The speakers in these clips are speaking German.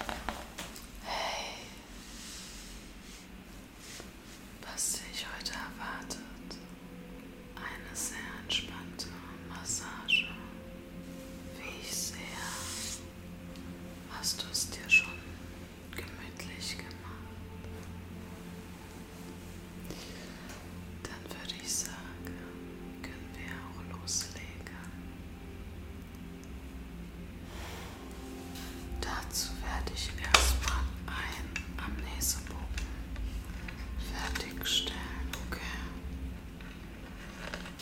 Hey, was dich heute erwartet, eine sehr entspannte Massage. Wie ich sehe, hast du es dir schon gemütlich gemacht. Dann würde ich sagen, können wir auch loslegen. Dazu werde ich erstmal einen Amnesebogen fertigstellen, okay?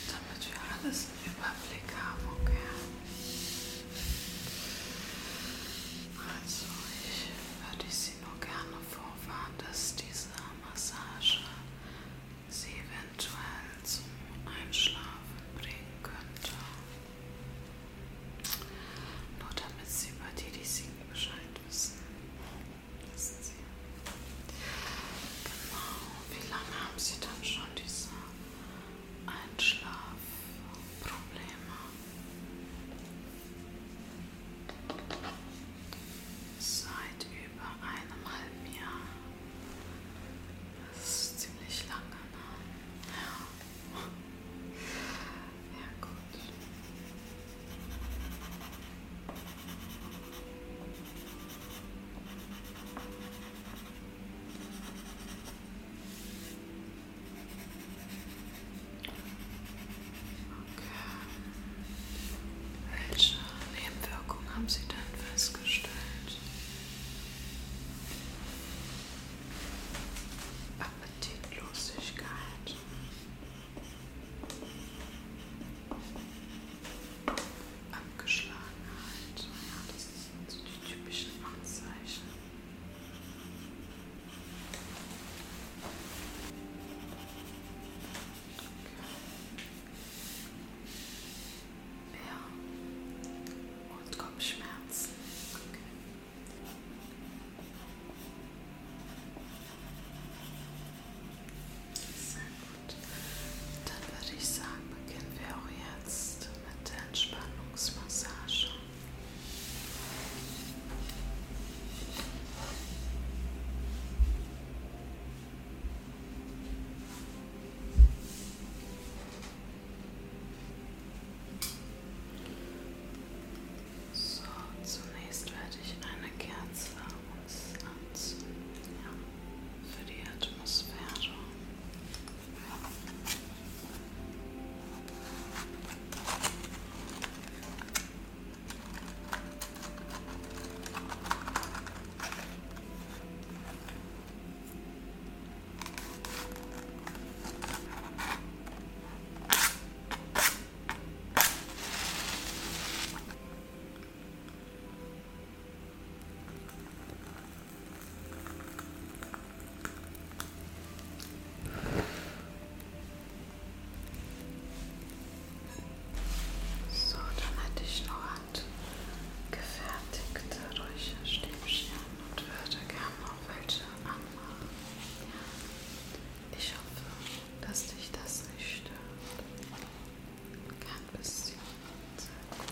Damit wir alles im Überblick haben, okay? Also, ich würde Sie nur gerne vorwarnen, dass diese Massage sie eventuell zum Einschlafen bringen könnte. Nur damit sie über die, die singen, Bescheid wissen. Wissen Sie? Genau. Wie lange haben Sie dann schon diese Einschlafprobleme? Seit über einem halben Jahr. Das ist ziemlich lange, ne? Ja. Ja, gut. Okay. Welche Nebenwirkungen haben Sie denn festgestellt? Appetitlosigkeit. Abgeschlagenheit. Ja, das sind so die typischen Anzeichen. Okay. Ja. Und Kopfschmerzen. Okay. Sehr gut. Dann würde ich sagen, beginnen wir auch jetzt mit der Entspannungsmassage. So, zunächst werde ich eine Kerze uns anzünden ja, für die Atmosphäre. So, dann hätte ich noch und gefertigte ruhige Stäbchen und würde gerne noch welche anmachen. Ja. Ich hoffe, dass dich das nicht stört. Kein bisschen. Sehr gut. Sehr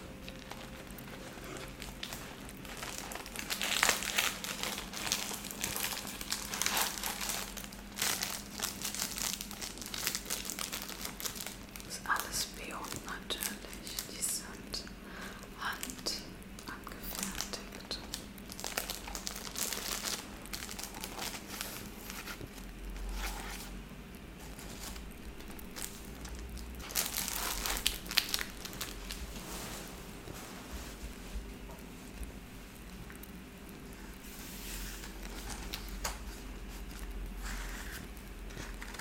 das ist alles Bio natürlich. Die sind hand angefertigt.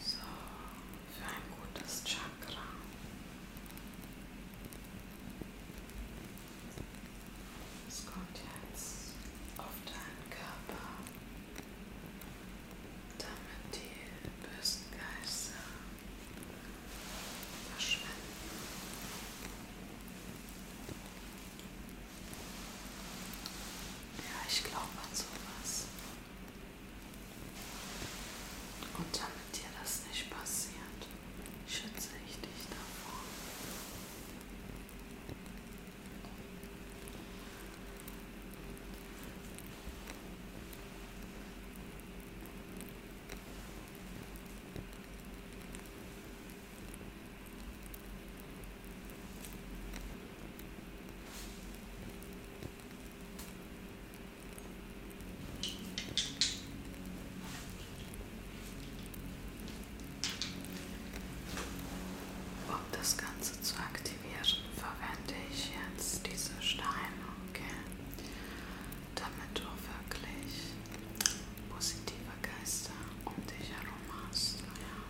So, für ein gutes Chakra. Es kommt jetzt auf deinen Körper, damit die bösen Geister verschwinden. Ja, ich glaube an sowas. Und damit dir das nicht passiert, schütze ich dich davor. Um das Ganze zu aktivieren, verwende ich jetzt diese Steine, okay? Damit du wirklich positive Geister um dich herum hast. Ja.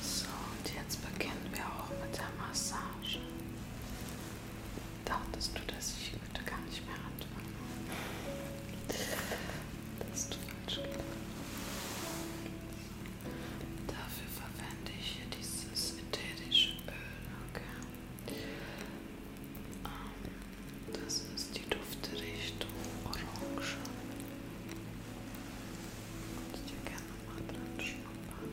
So, und jetzt beginnen wir auch mit der Massage dachtest du, dass ich heute gar nicht mehr anfange. Das hast du falsch gedacht. Dafür verwende ich hier dieses ätherische Öl. Okay. Ähm, das ist die Duftrichtung Orange. Kannst dir gerne mal dran schnuppern.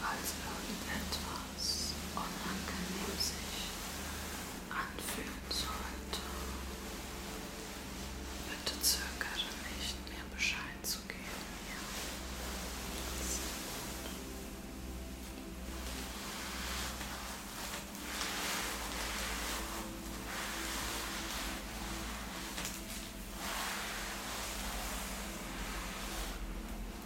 falls irgendetwas unangenehm sich anfühlen sollte. Bitte zögere nicht, mir Bescheid zu geben. Ja. Gut.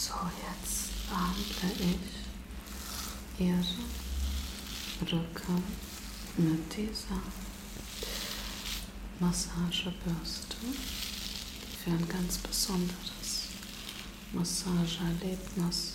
So, jetzt atme ich Erde, Rücken, mit dieser Massagebürste für ein ganz besonderes Massageerlebnis.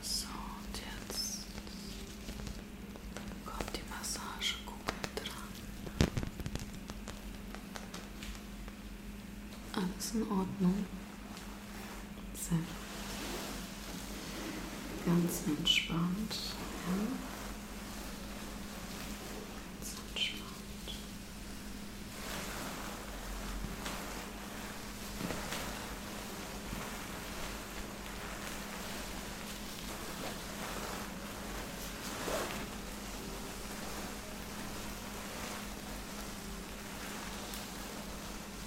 So, und jetzt kommt die Massagekugel dran. Alles in Ordnung. Sehr gut. Ganz entspannt. Ja. Ganz entspannt.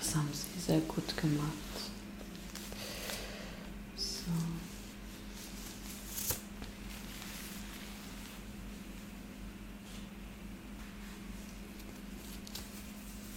Das haben Sie sehr gut gemacht. So.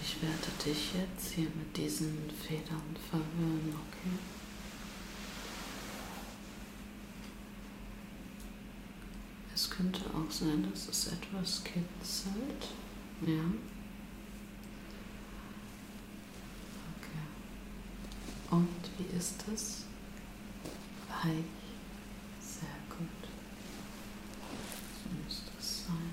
ich werde dich jetzt hier mit diesen Federn und verwirren, okay? Es könnte auch sein, dass es etwas kitzelt. Ja. Okay. Und wie ist es? Weich. Sehr gut. So muss das sein.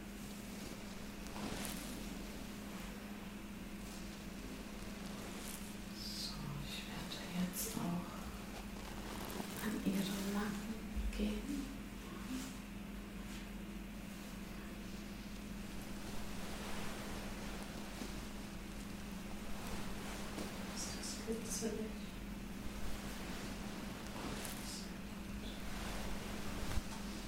So, ich werde jetzt auch an Ihren Nacken gehen. Das ist kitzelig.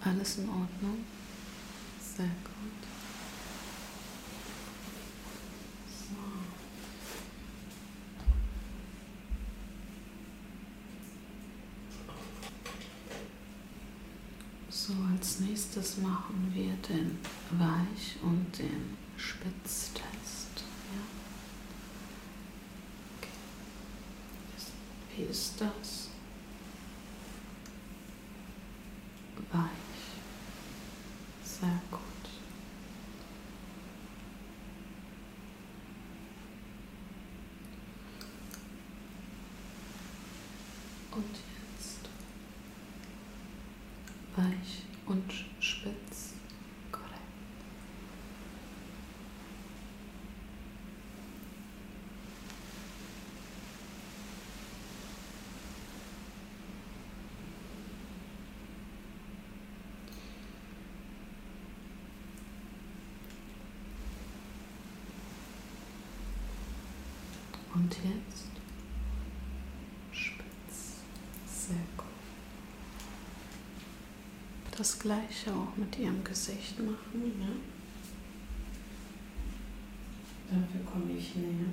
Alles in Ordnung. Sehr gut. So. So, als nächstes machen wir den Weich- und den Spitztest. Ja. Okay. Wie ist das? Weich. Sehr gut. Und jetzt weich und spitz. Korrekt. Und jetzt spitz. Sehr gut. Das gleiche auch mit ihrem Gesicht machen. Ja? Ne? Dafür komme ich näher.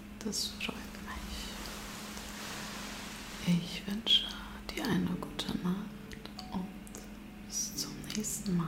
des Frankreich. Ich wünsche dir eine gute Nacht und bis zum nächsten Mal.